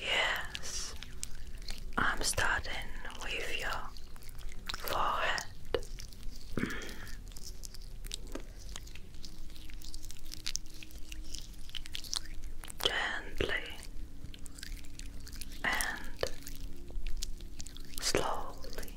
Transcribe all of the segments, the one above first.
Yes, I'm starting with your forehead. Gently and slowly.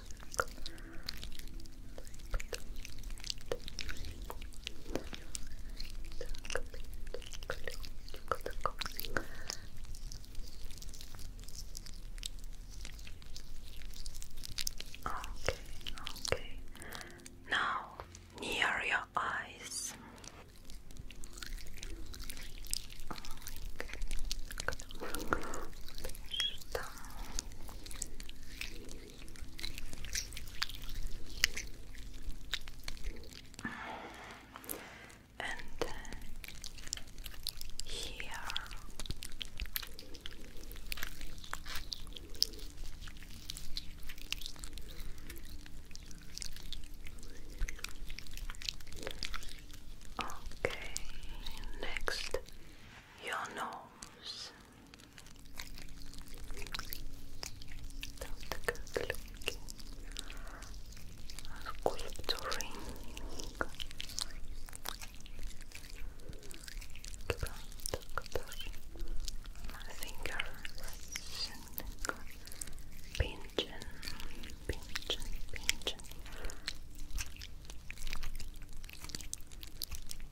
Okay, okay. Now near your eyes and uh, here. Okay, next your nose. the good looking. Sculpturing. My fingers pinching, pinching, pinching.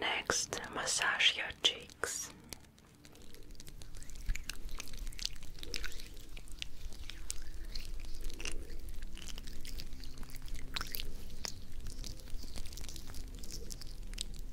Next, massage your cheeks.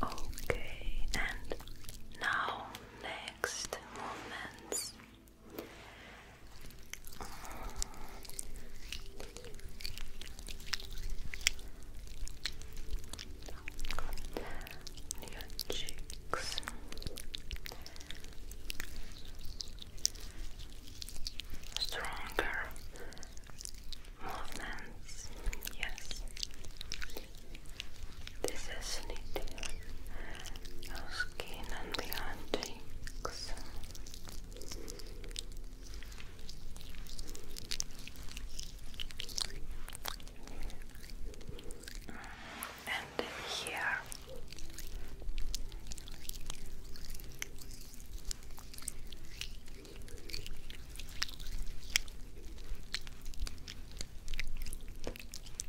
Okay, and now next movements on your cheeks. Stronger movements, yes. This is knitting your skin and behind six. And here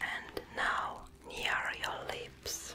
And now near your lips.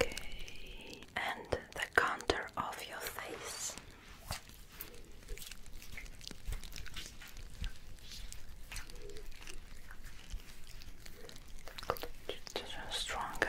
Okay, and the contour of your face. Stronger.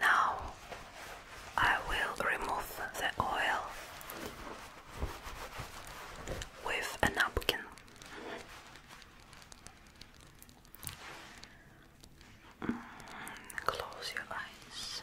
now I will remove the oil with a napkin. close your eyes.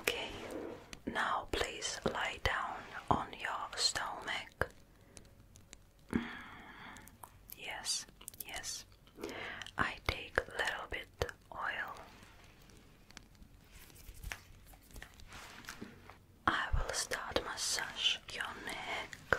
Okay, now please lie down on your stomach. Mm, yes, yes. I take a little bit oil. I will start massage your neck.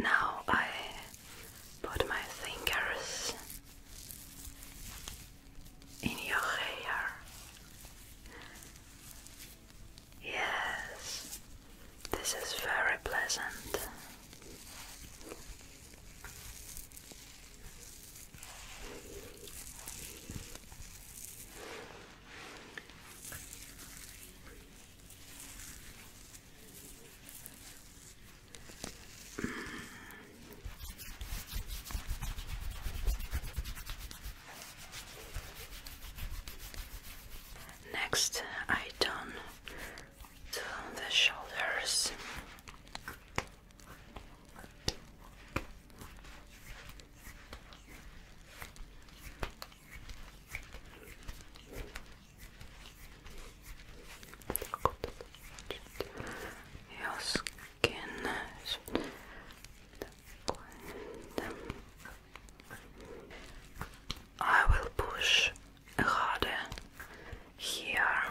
Now I put my fingers in your hair. Yes, this is very pleasant. Next, I turn to the shoulders. Your skin I will push harder here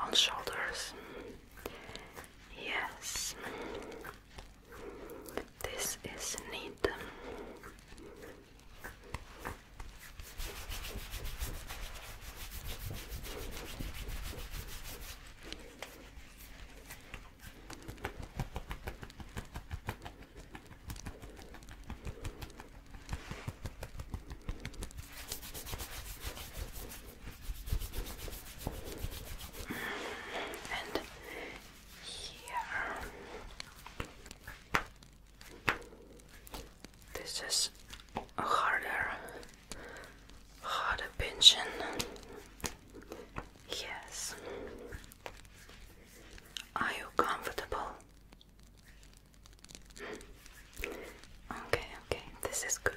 on shoulders. Yes. This is neat and here. This is harder, harder pinching. Yes. Are you comfortable? Okay, okay, this is good.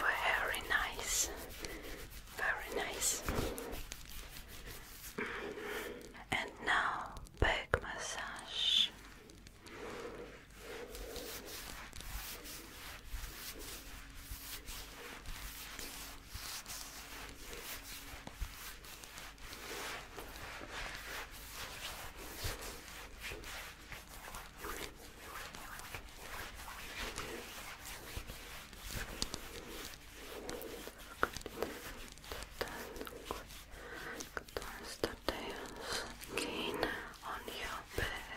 Very nice, very nice. And now back massage. Good. Contours the tails again on your back.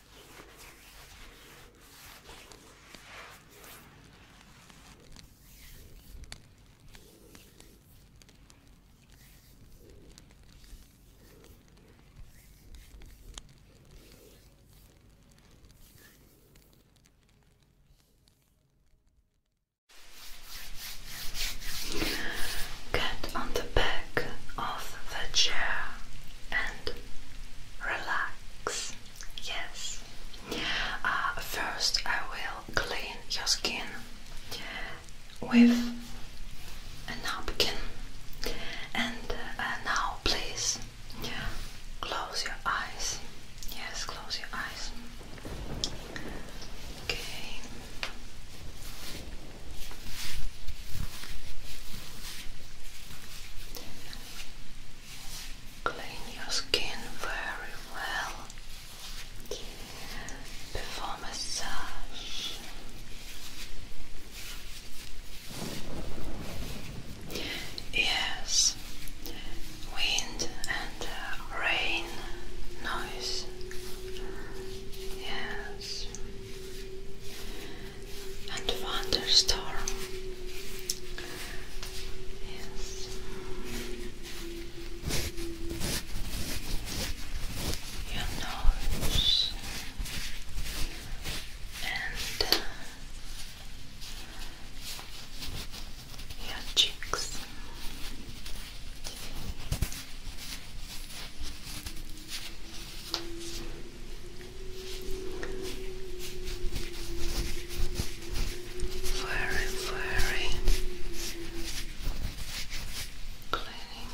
Get on the back of the chair and relax. Yes. Uh, first, I will clean your skin with a napkin. And uh, uh, now, please close your eyes. Yes, close your eyes. Okay. Clean your skin very well. Before massage, yes, wind and uh, rain noise, yes, and thunderstorm. Yes. Your nose and uh, your cheeks very, very cleaning.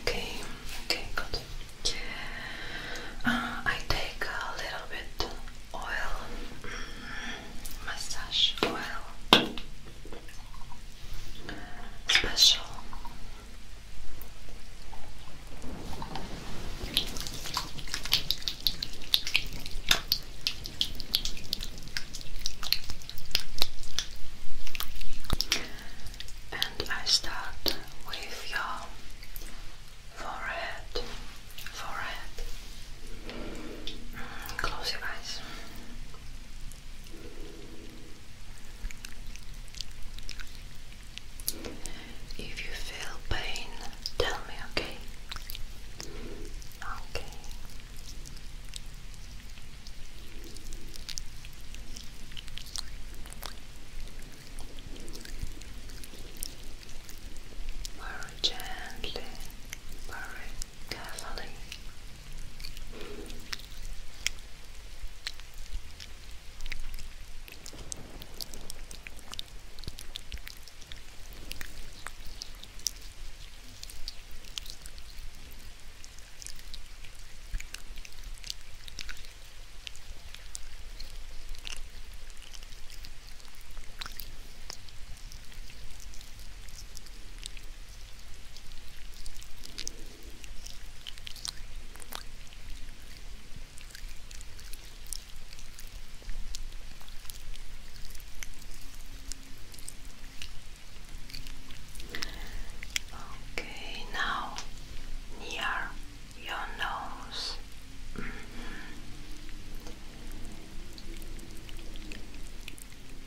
Okay, okay, good. Uh, I take a little bit oil. Mm. Mustache oil special. And I start with your forehead forehead. close your eyes. If you feel pain, tell me, okay? Okay. Very gently, very carefully. Good. Okay, now near your nose. Mm-hmm.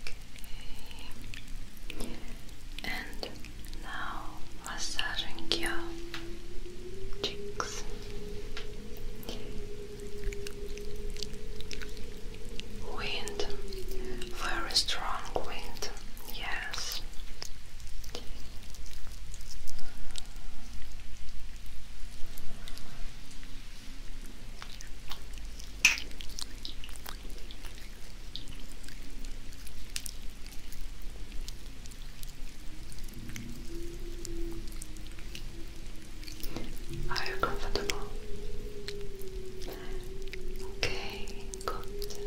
Okay. And now massaging your cheeks. Wind, very strong wind, yes, are you comfortable? Okay, good.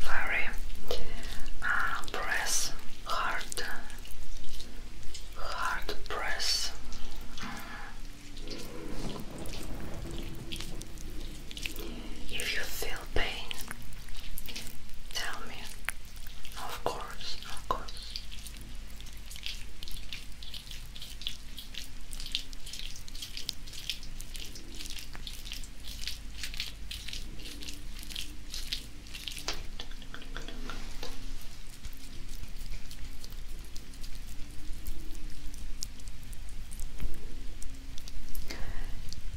Very uh, press hard, hard press. If you feel pain, tell me. Of course, of course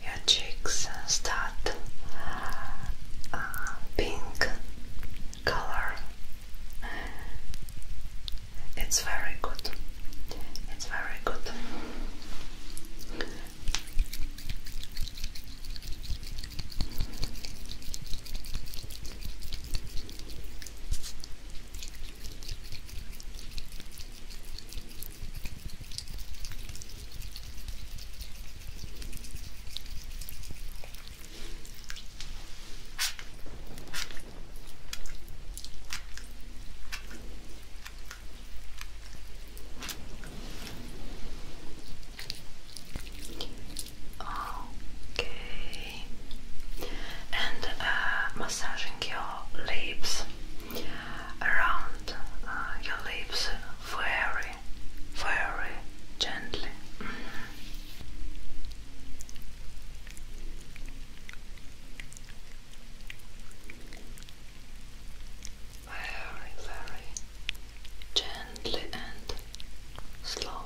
your cheeks start uh, pink color. It's very good. It's very good. Okay, and uh, massaging your lips around uh, your lips very very gently. Very, very gently and slowly.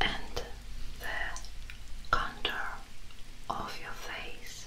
and the contour of your face.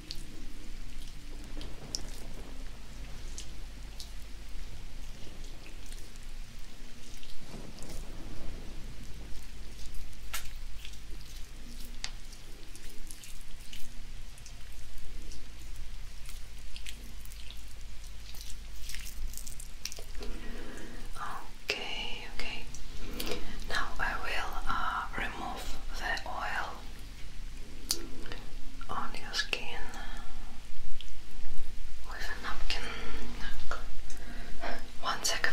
Okay, okay. Now I will uh, remove the oil on your skin with a napkin. One second.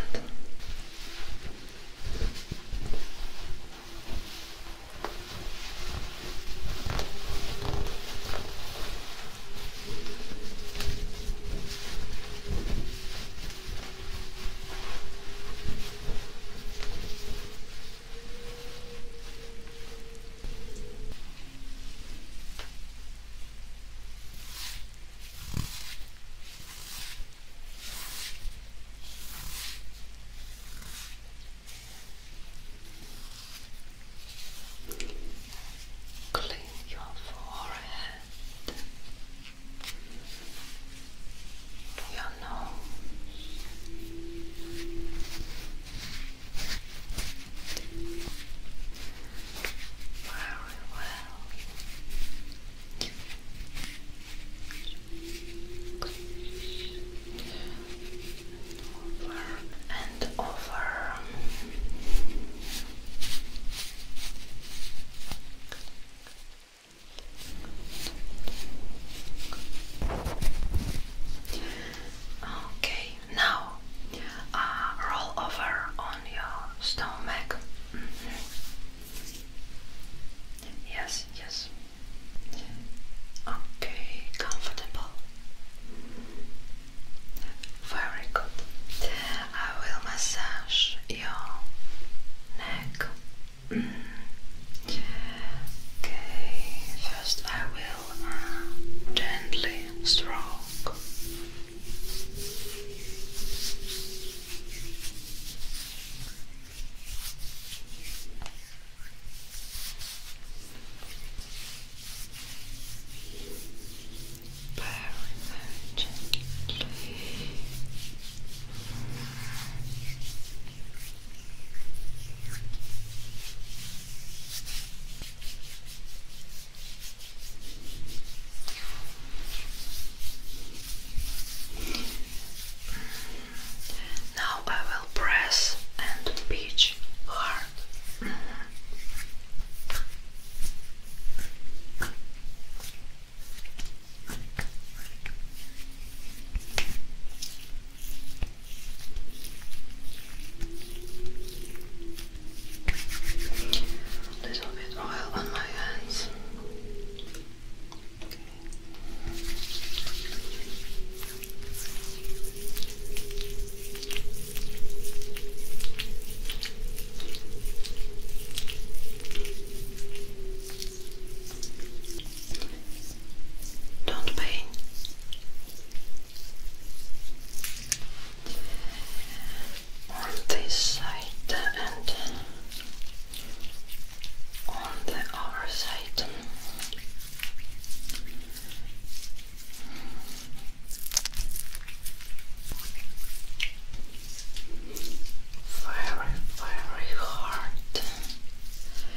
Clean your forehead you know Very well. Over and over. Okay, now uh, roll over on your stomach. Mm-hmm. Yes, yes. Okay, comfortable. Very good. I will massage your neck. Okay, first I will uh, gently stroke. Very, very gently. Now I will press and pitch hard. A little bit oil on my hands. Don't pain. On this side and on the other side. Very, very hard.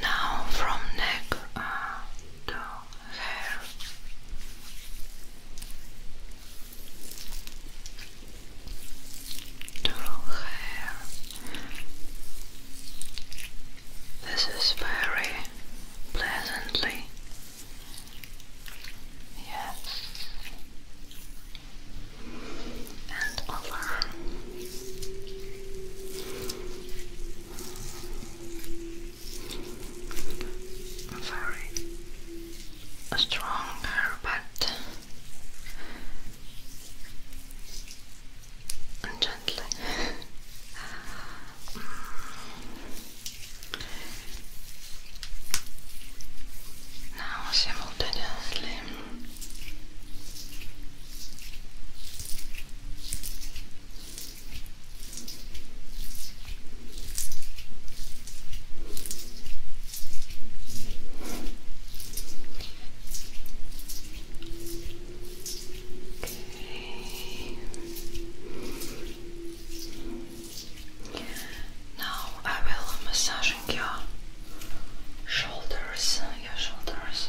Now from neck to hair. To hair. This is very pleasantly. Yes and Allah. Very strong but gently. now simultaneously now I will massage massaging your shoulders, your shoulders.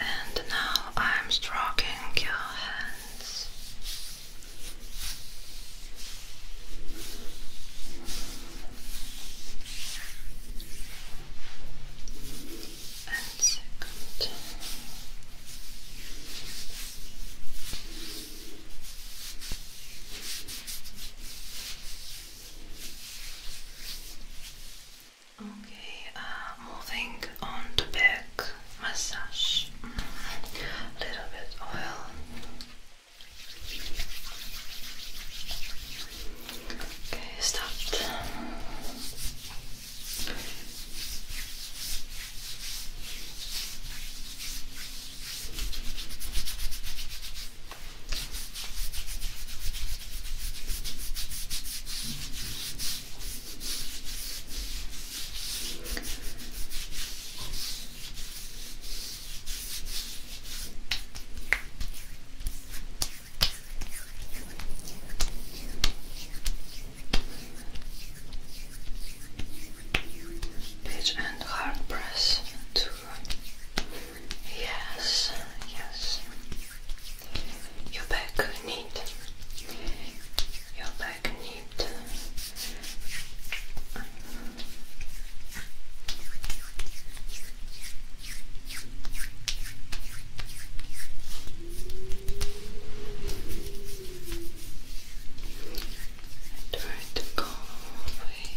And now I'm stroking your hands. And second. Okay, uh, moving on to back massage. A mm, little bit oil. Okay, stop. Pitch and hard press Yes, yes your back neat, your back neat. I try go away.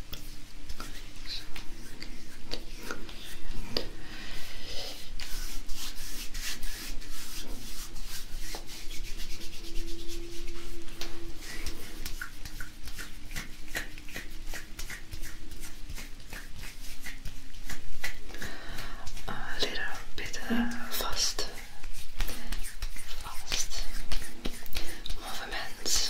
A little bit uh, fast, fast movements.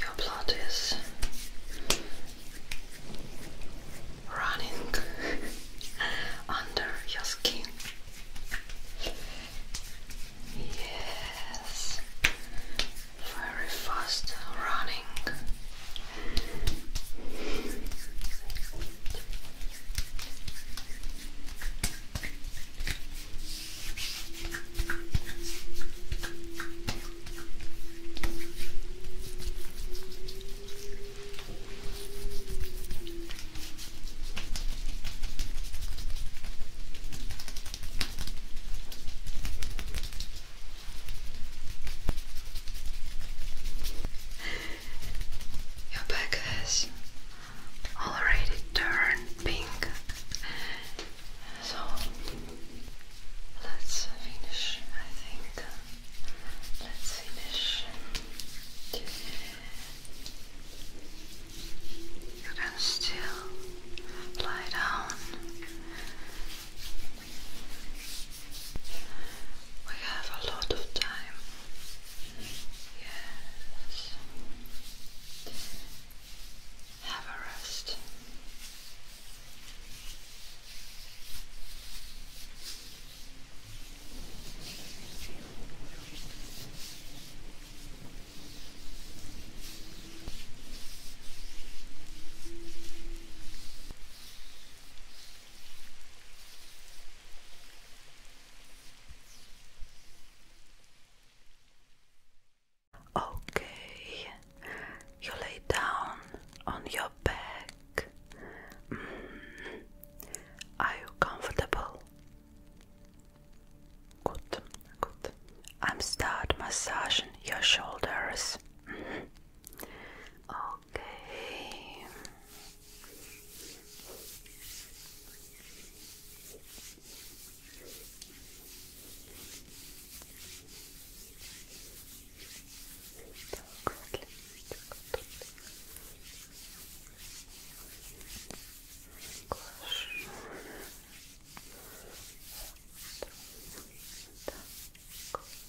Your blood is running under your skin. Yes, very fast running. Your back has already turned pink, so let's finish. I think let's finish. You can still lie down. We have a lot of time. Yes. Have a rest. Okay, you lay down on your back. Mm. Are you comfortable? Good, good. I'm start massaging your shoulders. Mm. Okay. Так, отлично. Хорошо. Так.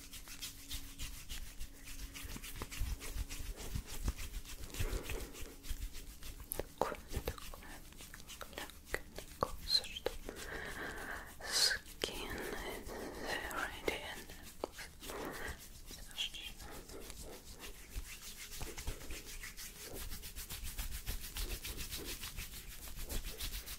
такое, такое кажется, что skin is very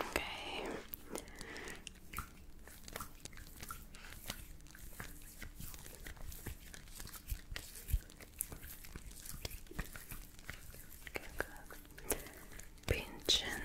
Okay. Pinchin. Konnekan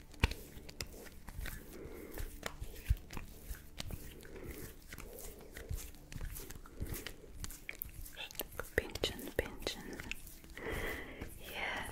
Pinchin, pinchin. Yes.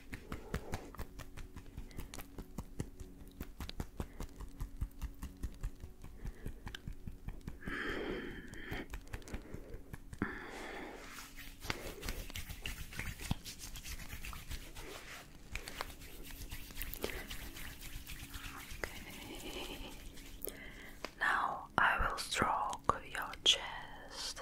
Okay. Now I will stroke your chest.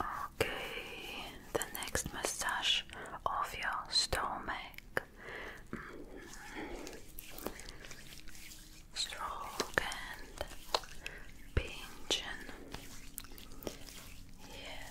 Okay, the next massage of your stomach. Mm -hmm. Stroke and Yes.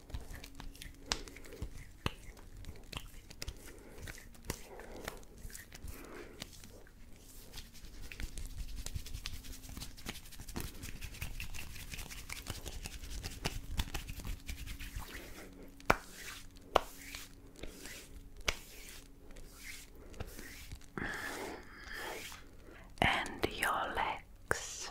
and your legs.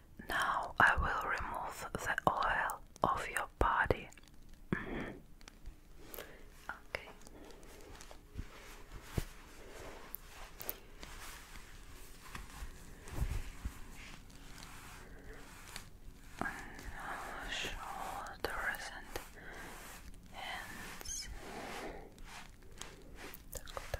Now I will remove the oil of your body. Okay. shoulders and hands.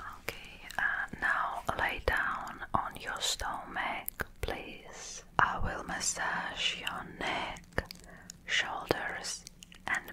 Okay, uh, now lay down on your stomach, please. I will massage your neck, shoulders, and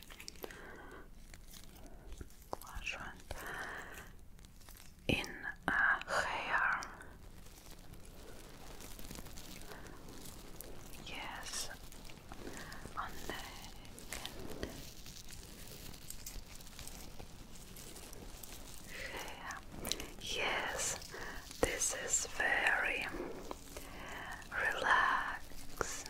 in a uh, hair. Yes, on neck and hair. Yes, this is very relaxed.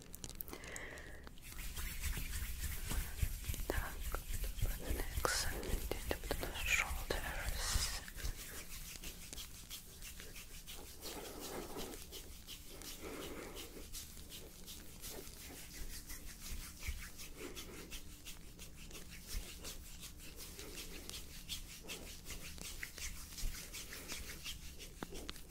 Так, the next and up to the shoulders.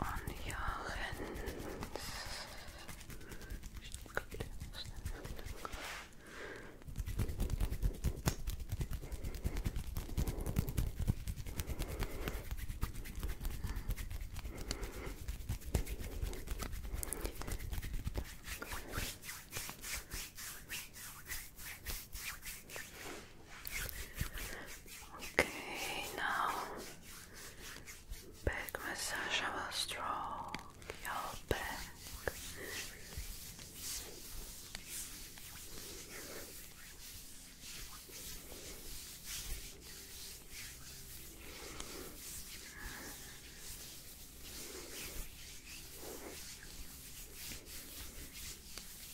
on your hands. Okay, now back massage. I will stroke your back.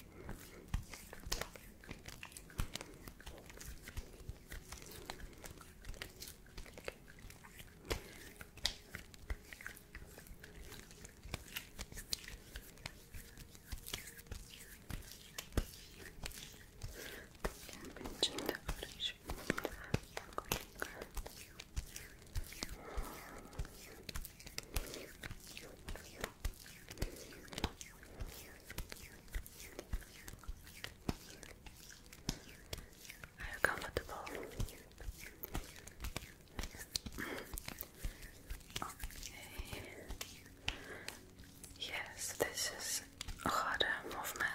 Damage are you comfortable? Yes, this is harder movement.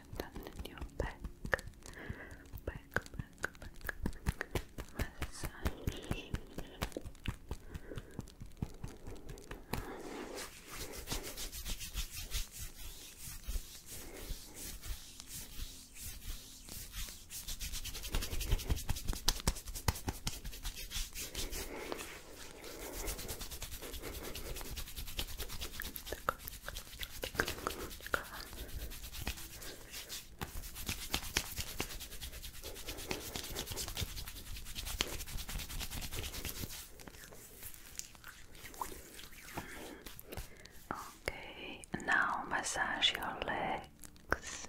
tension down in your back. Back, back, back. Massage. Okay, now massage your legs.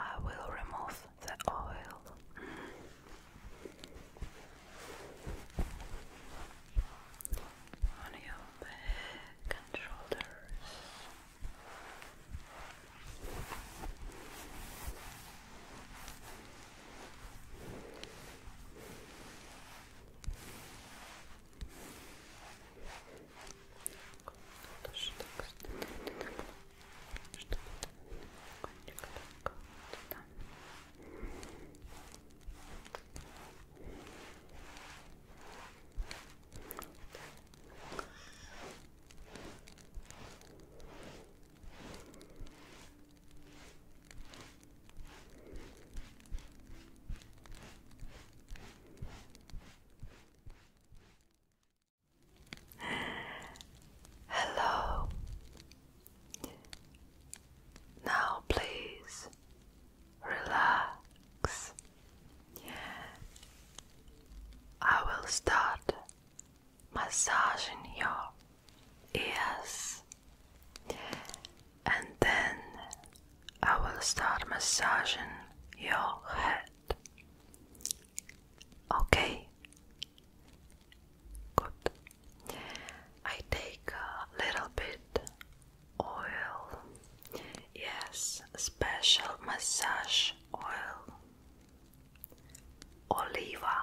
I will remove the oil. On your back and shoulders. Тоже так чтобы кончик так вот, да. Так, Hello. Now, please relax. I will start massaging your Yes. And then I will start massaging your head. Okay. Good. I take a little bit oil. Yes, special massage oil. Oliva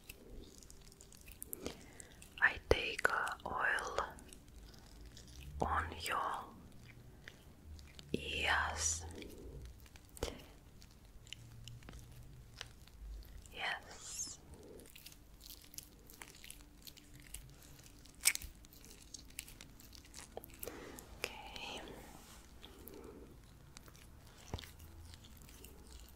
I take uh, oil on your ears. Yes. Okay.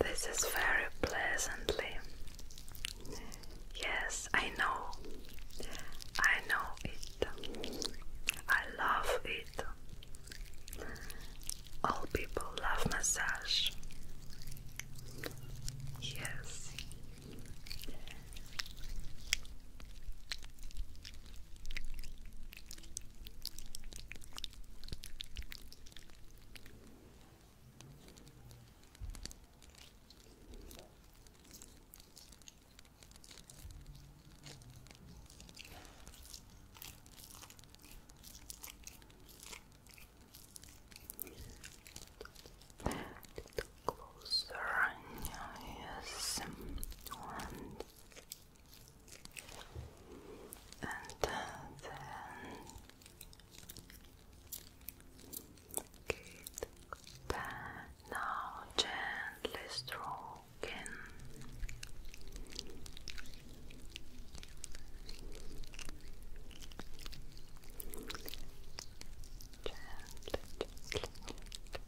This is very pleasantly. Yes, I know. I know it. I love it. All people love massage. Yes. That closer, yes, and and then get now gently stroking Gently,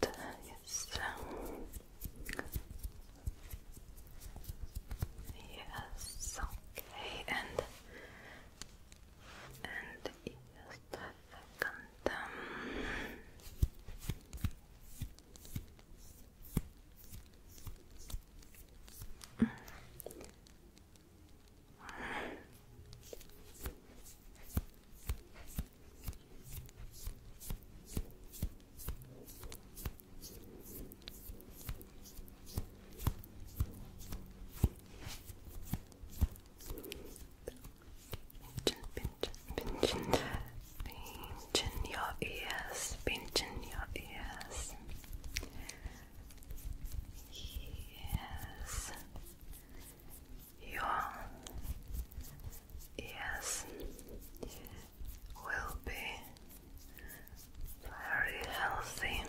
that, yes. Yes, okay, and and yes, the Um, Pinching, pinching, pinching your ears, pinching your ears. Yes, your Yes, will be very healthy.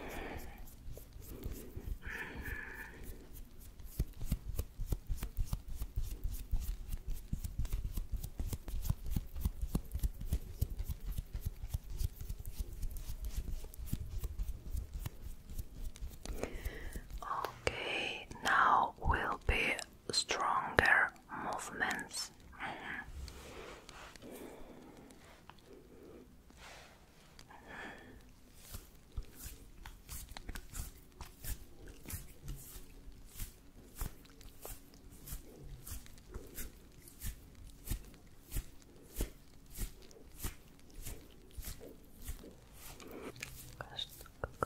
Okay, now we'll be stronger movements.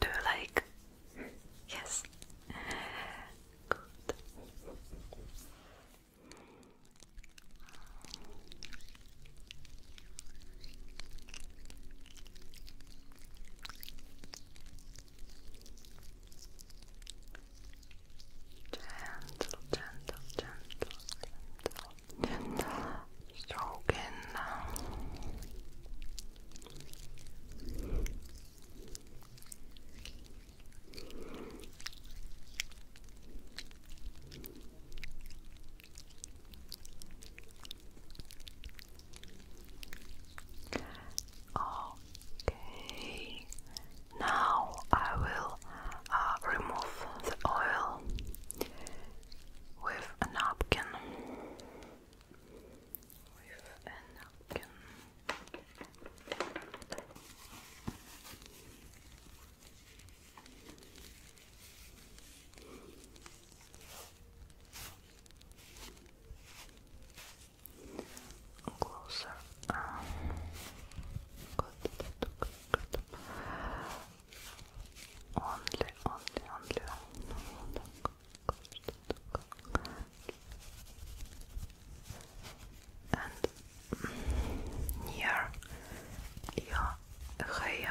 Do you like? Yes. Good. Gentle, gentle, gentle, gentle, gentle stroking now. Oh, Okay, now I will uh, remove the oil With a napkin closer. Um, good, good, good. Only, only, only. only. And near your hair.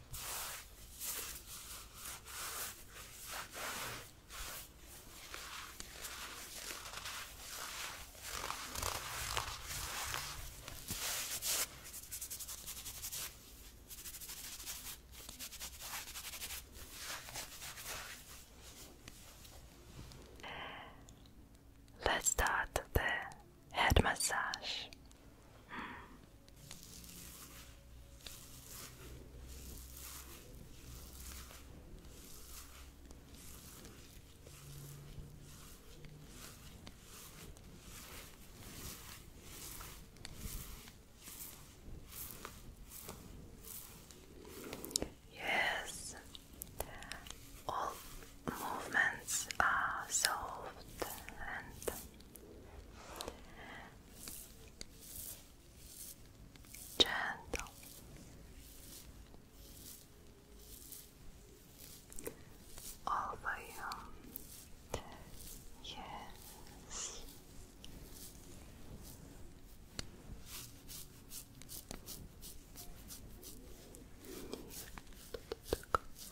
Let's start the head massage. Hmm. Yes, all movements are solved and gentle, all for you. Yes.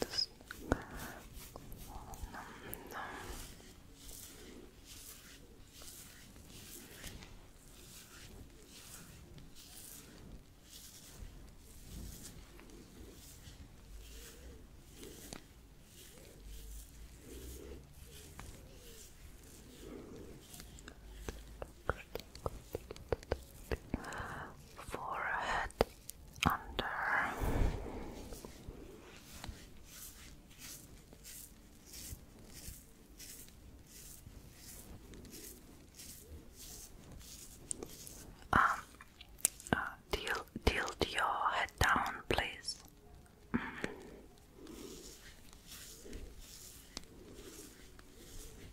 this Good forehead under um uh, tilt, your head down please mm.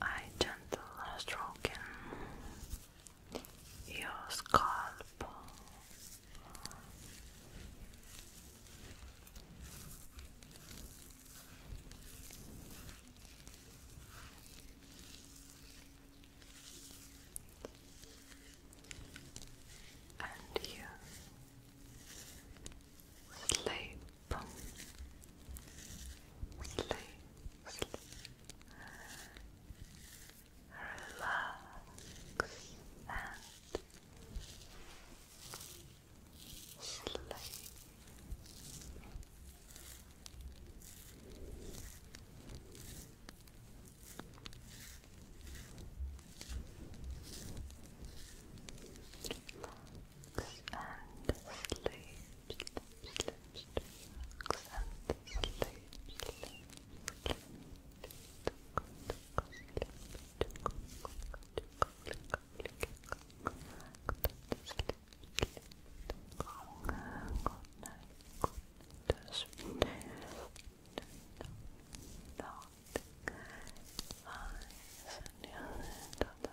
I gentle stroking your scalp. And you sleep boom, sleep, sleep, relax and sleep and sleep, sleep, sleep, relax and sleep, sleep, sleep, Eyes and your head on the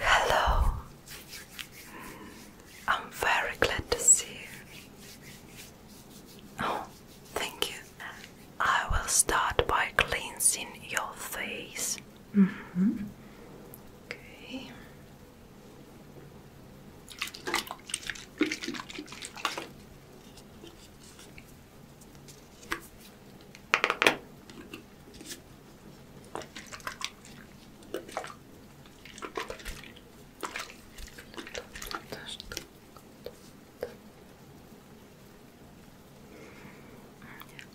Hello, I'm very glad to see you. Oh, thank you. I will start by cleansing your face. Mm -hmm. Okay.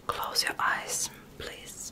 Close your eyes, please.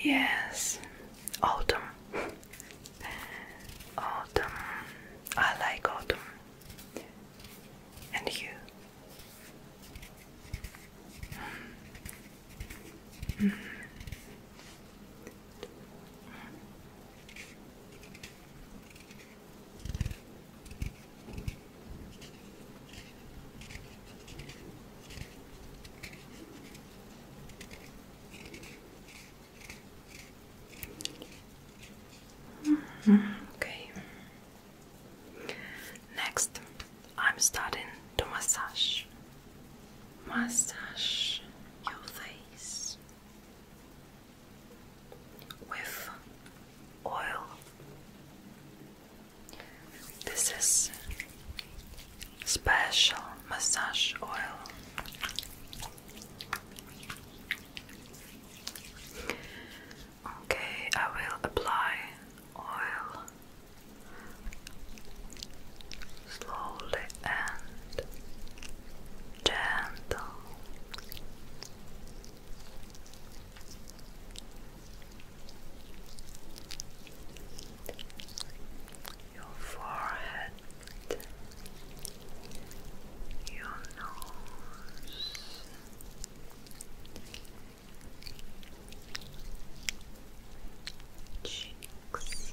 Yes, autumn. Autumn. I like autumn. And you? Okay. Next, I'm starting to massage. Massage your face with oil. This is special massage oil. Okay, I will apply oil slowly and gentle your forehead, your nose, cheeks.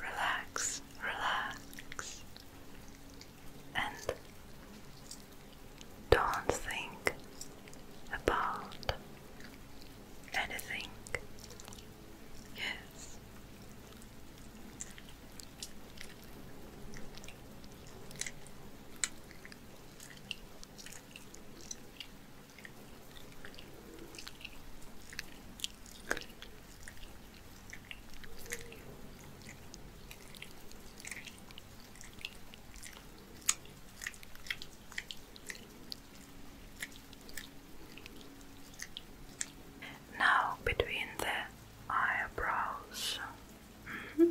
Relax, relax, and don't think about anything. Yes. Now between the eyebrows. Mm-hmm.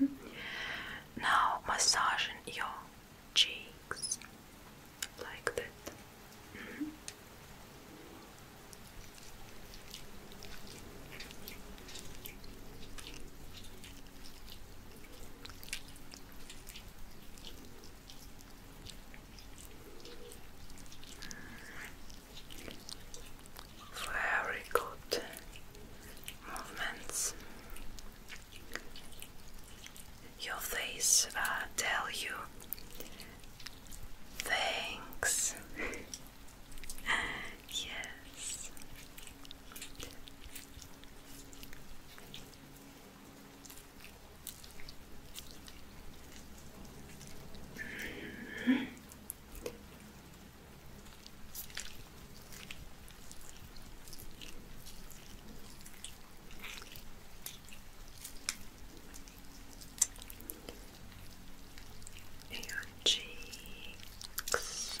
Mm -hmm. Now massaging your cheeks like that. Mm-hmm. Very good movements. Your face uh, tell you thanks. yes. Mm -hmm. Your cheeks,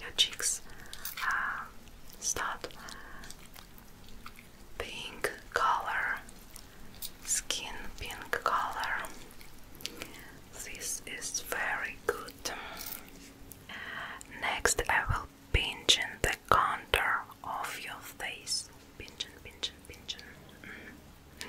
your cheeks uh, start pink color, skin pink color. This is very good. Next, I will pinch in the contour of your face. Pinch and pinch and pinch. Mm.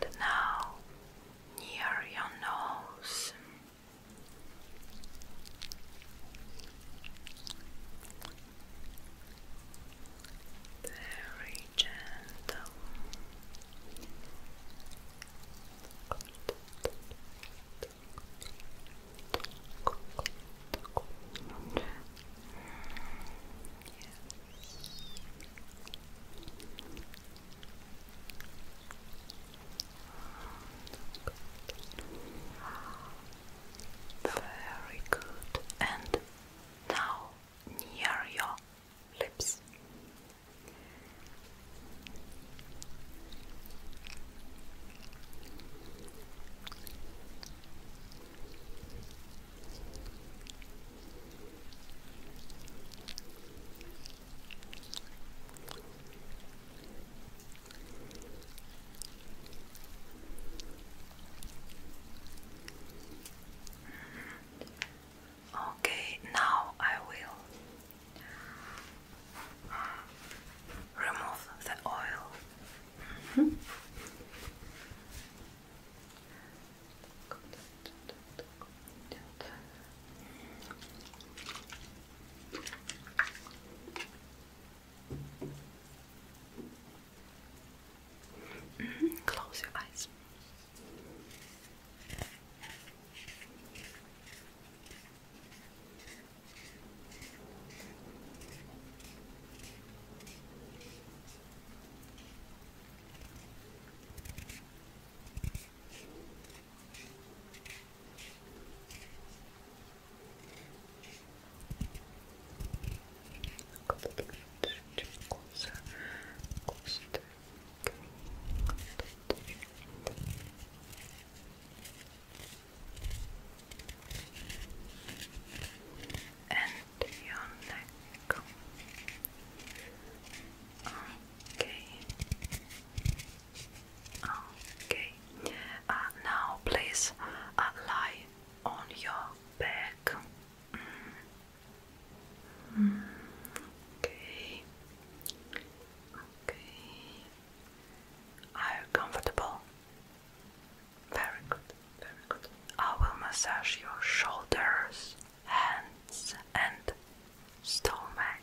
And now near your nose. Very gentle. Very good. And now near your lips. Okay, now I will remove the oil. Mm-hmm. Mm-hmm. Close your eyes a little bit closer, closer to and your neck. Okay. Oh, okay. Uh, now, please uh, lie on your back. Mm. Mm. Okay. Okay. Are you comfortable? Very good. Very good. I will massage your shoulders, hands, and stomach.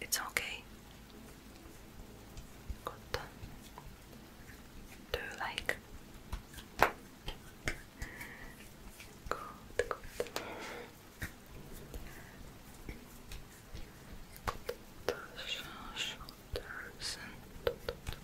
It's okay. Good. Do you like? Good, good. Good. Shoulders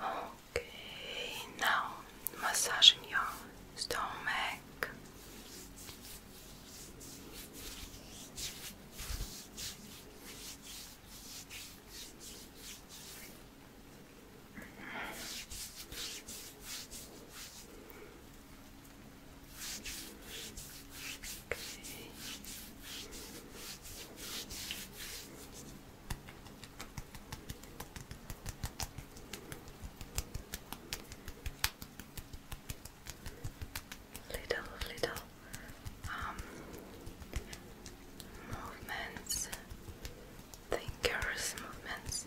Okay, now massaging your stomach. Okay. Little, little um, movements, fingers movements.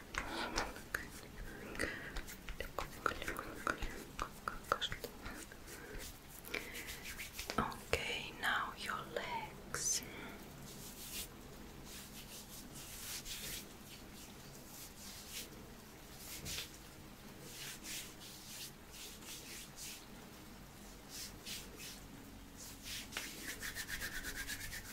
Okay, now your legs.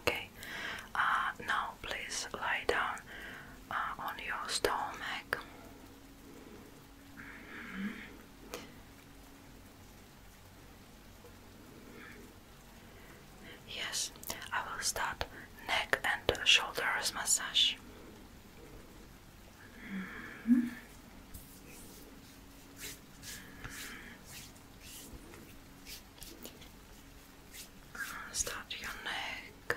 Okay. Uh, now please lie down uh, on your stomach. Mm-hmm. Yes, I will start neck and shoulders massage. Mm-hmm. Start your neck.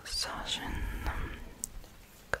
Massaging the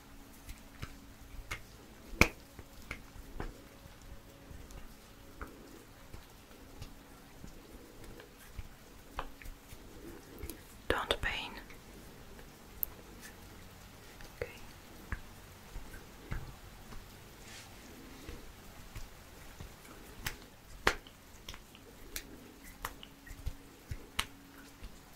Don't pain.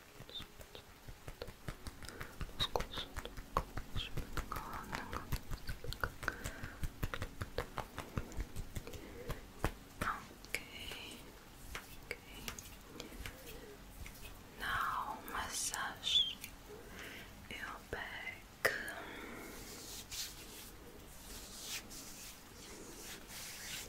Okay. Okay. Now massage your back.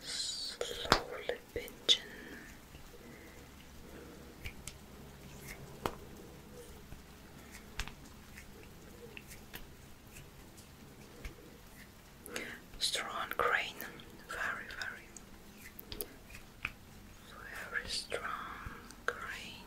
Slowly pinching. Strong grain, very, very, very strong grain.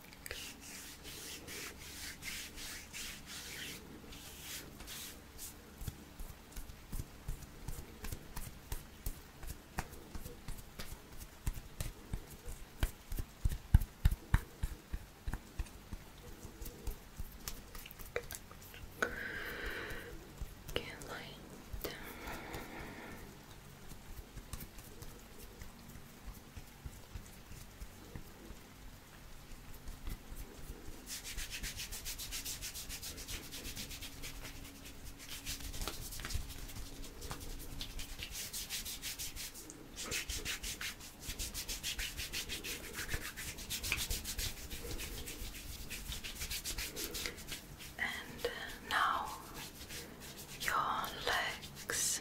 Get light down. Okay. And uh, now your legs.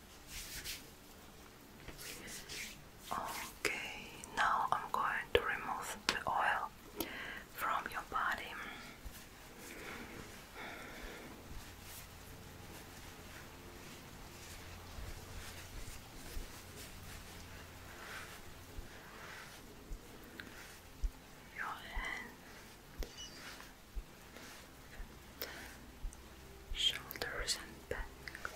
Okay, now I'm going to remove the oil from your body. Your hands, shoulders and back. Okay.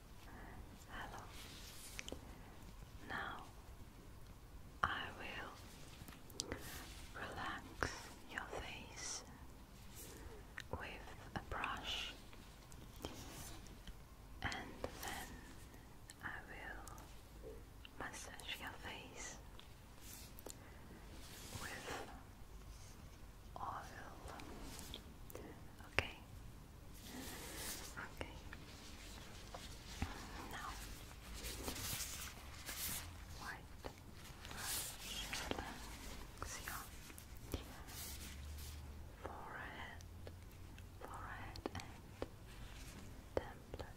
Hello. Now I will relax your face with a brush and then I will massage your face with oil. Okay. Okay. Now, white brush your forehead, forehead and temple. Okay.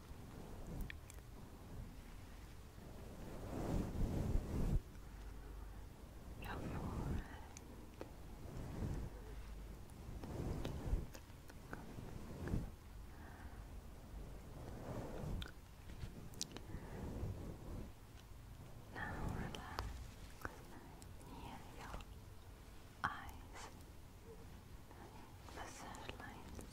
your forehead. Now relax near your eyes massage lines.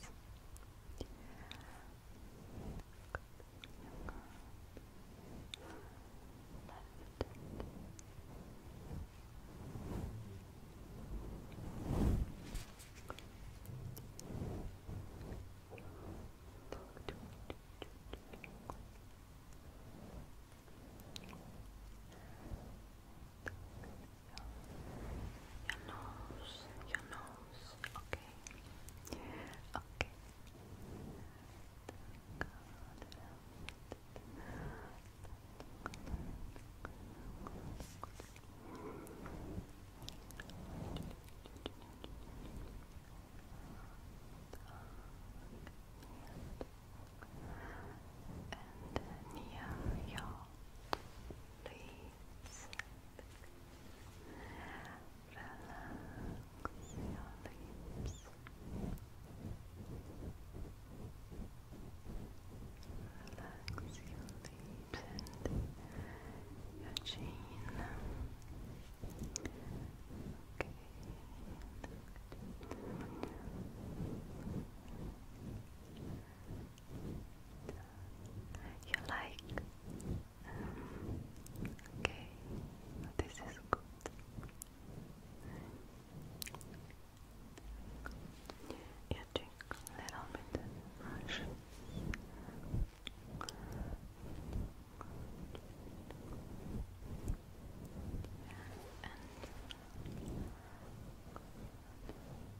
Your nose, your nose, okay. Okay. and near your leaves Relax your lips. Relax your lips and your chin. Okay you like. Um, okay, this is good. You drink a little bit much. And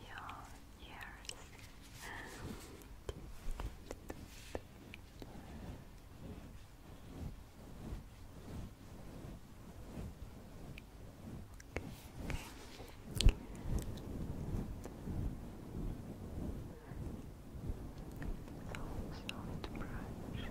your ears. So soft brush.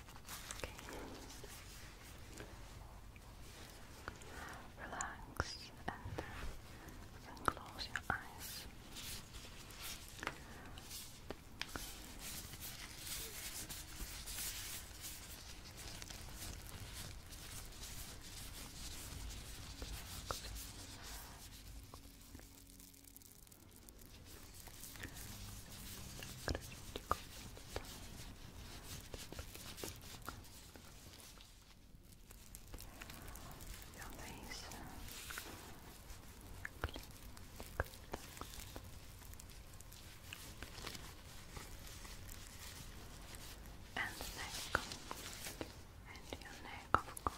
Okay. Relax and close your eyes and the neck, and your neck, Of course.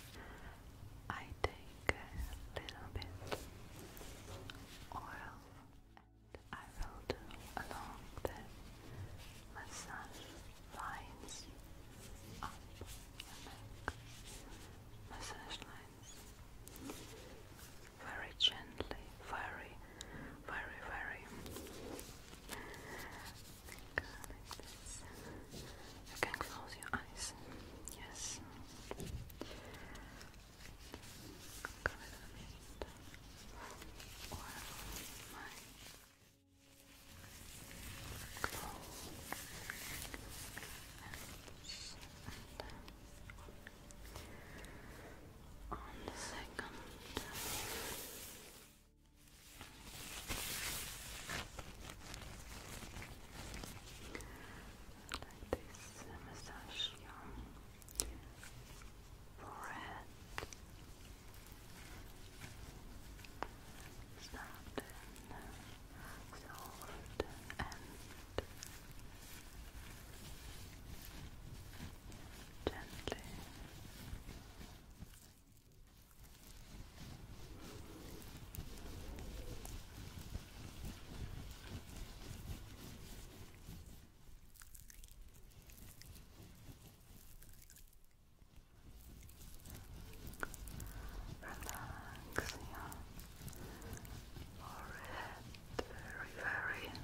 I take a little bit oil and I will do along the massage lines up your neck. Massage lines very gently, very, very, very think You can close your eyes. Yes. on the second. Close your eyes. Like this, massage your forehead. Soft soft and gently. Relax You forehead very, very good.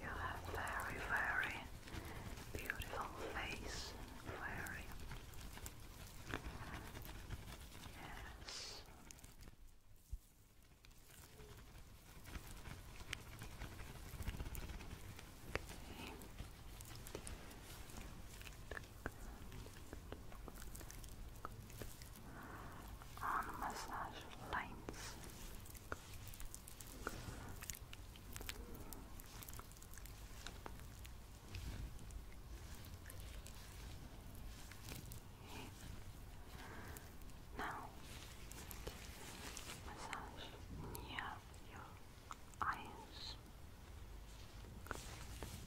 You have very, very beautiful face, very. Yes. Okay. On massage lines. Now, massage near your eyes. Pleasantly.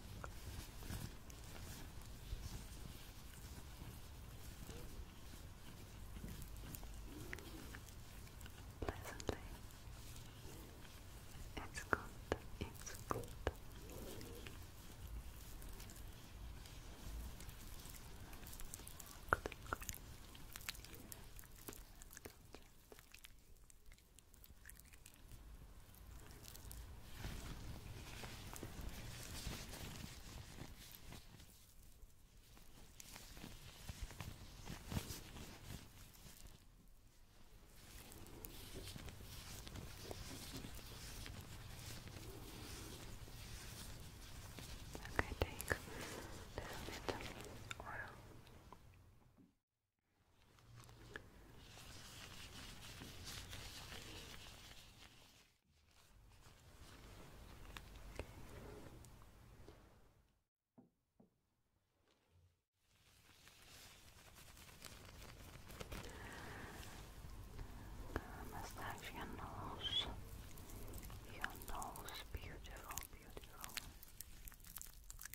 It's good, it's good. good. Okay, take a little bit of oil. Massage your nose, your nose, beautiful, beautiful.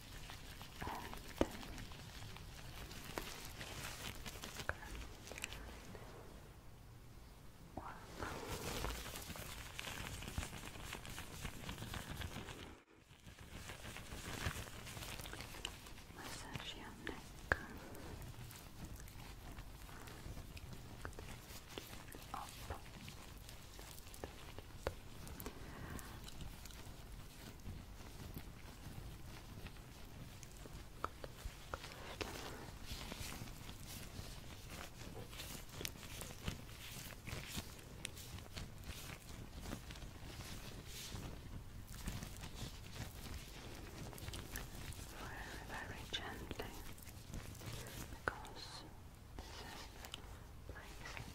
and one. Massage your neck. Up. Very, very gently, because this is place.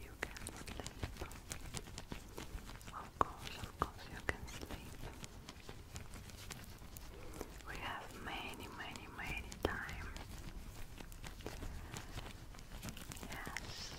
You can sleep. Of course, of course, you can sleep. We have many, many, many time. Yes.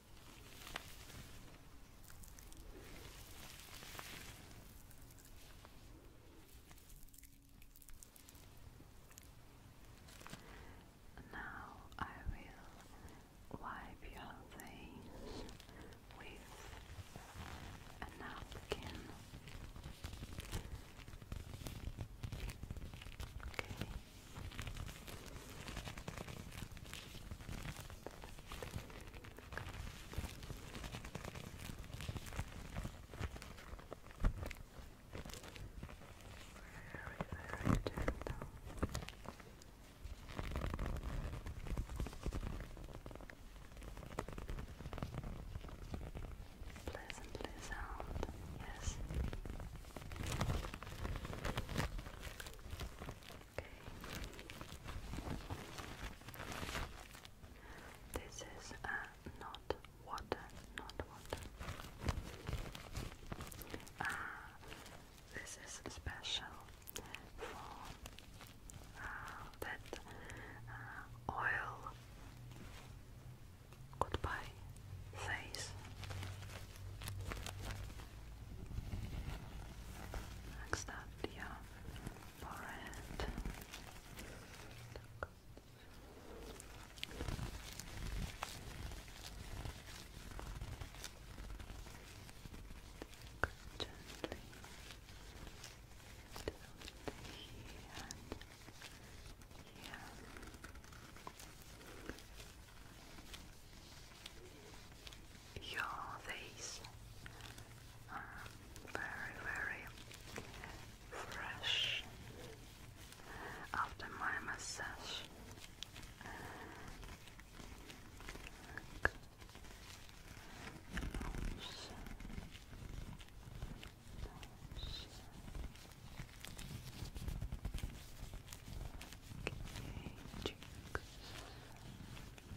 Now I will wipe your face with a napkin. Okay. Very, very gentle. Pleasantly sound, yes. Okay. This is uh, not water, not water. Ah, this is special for uh, that oil goodbye face. Next up, yeah forehead. Gently here and here. Good your face are um, very, very fresh after my massage.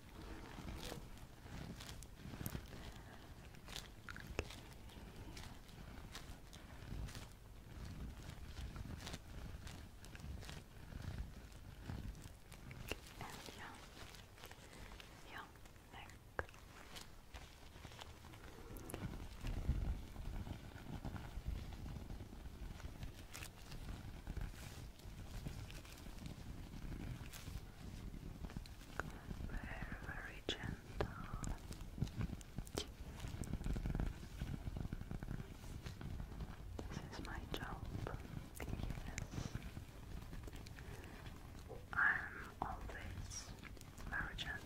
And yeah, yeah, neck. Okay. Very, very gentle. This is my job. Yes. I'm always very gentle.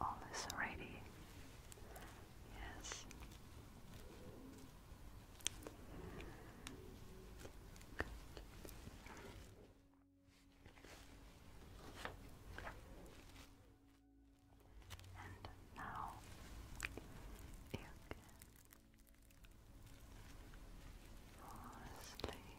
All is ready. Yes. And now you can fall asleep.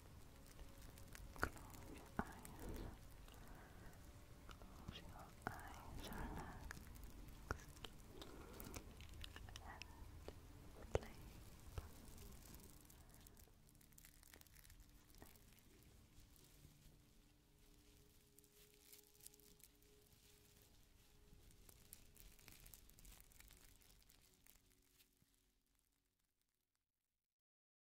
Close your eyes. Close your eyes, relax. And sleep.